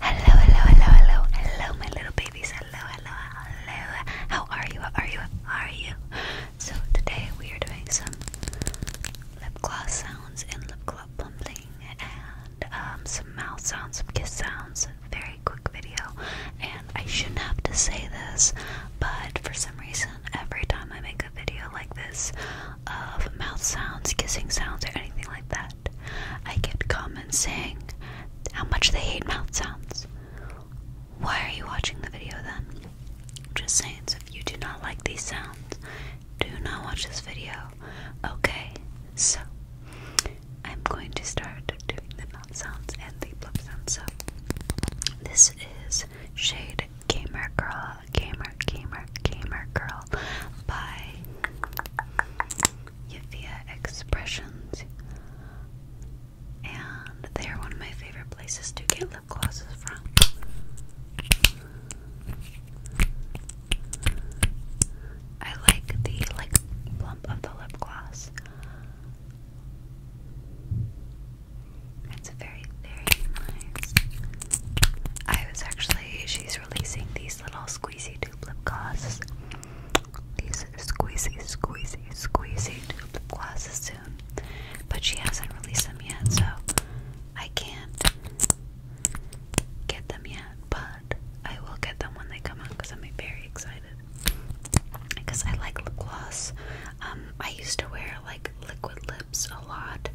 Hello, hello, hello, hello, hello, my little babies. Hello, hello, hello. How are you? How are you? How are you? So today we are doing some lip gloss sounds and lip gloss plumping and um, some mouth sounds, some kiss sounds. Very quick video. And I shouldn't have to say this, but for some reason, every time I make a video like this of mouth sounds, kissing sounds, or anything like that. I get comments saying how much they hate mouth sounds. Why are you watching the video then? Just saying, so if you do not like these sounds, do not watch this video. Okay, so I'm going to start doing the mouth sounds and the blip sounds. So this is Shade Gamer Girl Gamer Gamer Gamer Girl by Yavia Expressions. And they are one of my favorite places to get lip glosses from. I like the like plump of the lip gloss. It's very, very nice. I was actually, she's releasing these these little squeezy tube lip glosses. These squeezy, squeezy, squeezy tube lip glosses soon. But she hasn't released them yet, so I can't get them yet. But I will get them when they come out because I'm very excited. Because I like lip gloss. Um, I used to wear like liquid lips a lot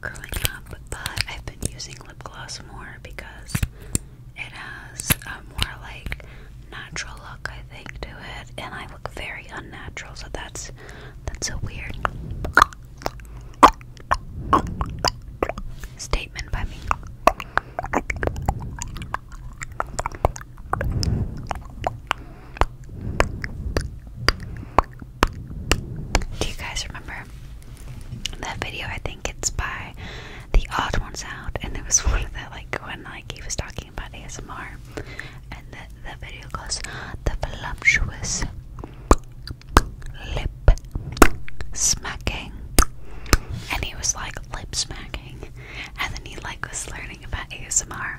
growing up, but I've been using lip gloss more because it has a more like natural look, I think, to it, and I look very unnatural, so that's that's so weird statement by me. Do you guys remember that video? I think it's by The Odd Ones Out, and there was one of the like when like he was talking about ASMR, and the the video goes the voluptuous lip smacking, and he was like lip smacking, and then he like was learning about ASMR.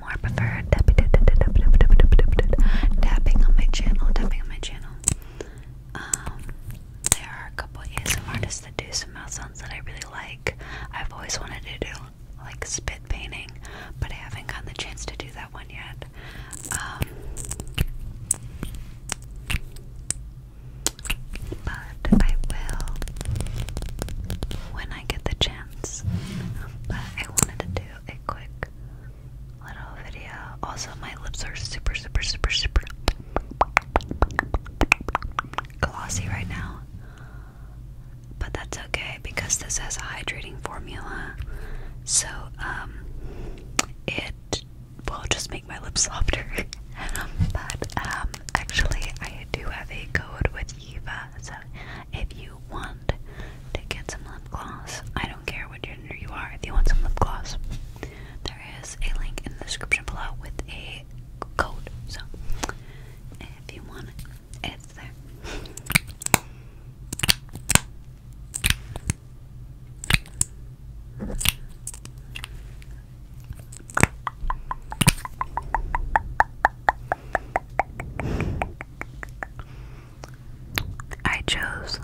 more prefer tapping on my channel, tapping on my channel. Um, there are a couple ASMR artists that do some mouth sounds that I really like. I've always wanted to do like spit painting, but I haven't gotten the chance to do that one yet. Um, but I will when I get the chance. But I wanted to do a quick little video. Also, my lips are super, super, super, super glossy right now. But that's okay because this has a hydrating formula. So, um, it will just make my lips softer. but, um, actually, I do have a code with Eva. So, if you want to get some lip gloss, I don't care what gender you are, if you want some lip gloss, there is a link in the description below with a code. So, if you want it, it's there. I chose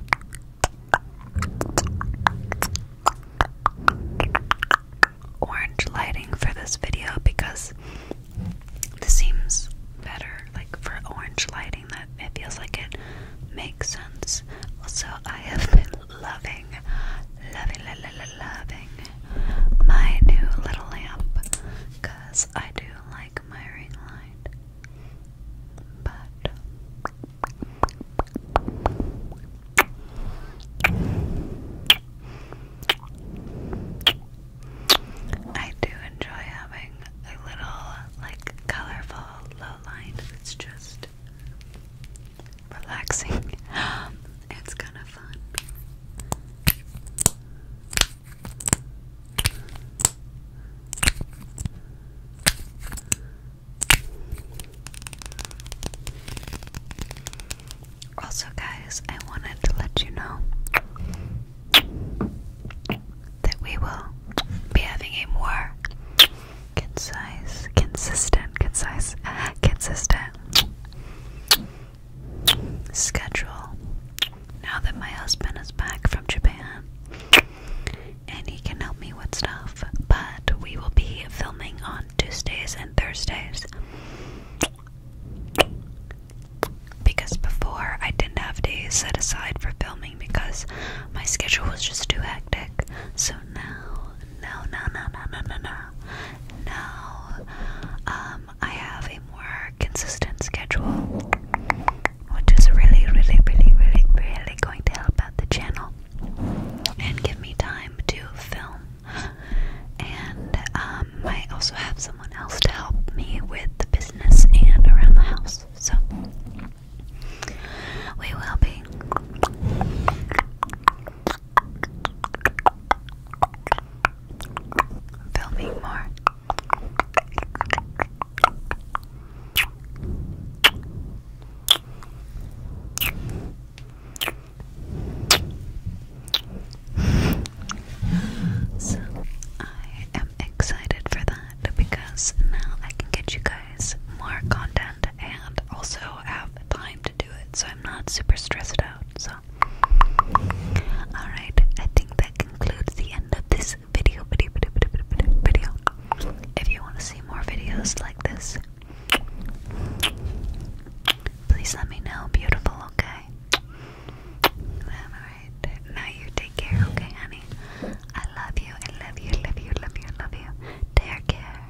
orange lighting for this video because this seems better like for orange lighting that it feels like it makes sense. Also I have been loving loving loving loving my new little lamp because I do like my ring light. But I do enjoy having a little, like, colorful low light. It's just relaxing. It's kind of also, guys, I wanted to let you know that we will be having a more concise, consistent, concise, consistent schedule now that my husband is back from Japan and he can help me with stuff. But we will be filming on Tuesdays and Thursdays because before I didn't have days set aside for filming because my schedule was just too hectic. So now, no, no, no, no, no, no, no now um, I have a more consistent schedule, which is really, really, really, really, really going to help out the channel and give me time to film. And um, I also have someone else to help me with the business and around the house, so we will be Filming more. I am excited for that because now I can get you guys more content and also have time do it, so I'm not super stressed out. So, alright, I think that concludes the end of this video. Video, If you want to see more videos like this, please let me know. Beautiful, okay? Alright, now you take care, okay, honey? I love you, I love you, I love you, I love you, I love you. Take care.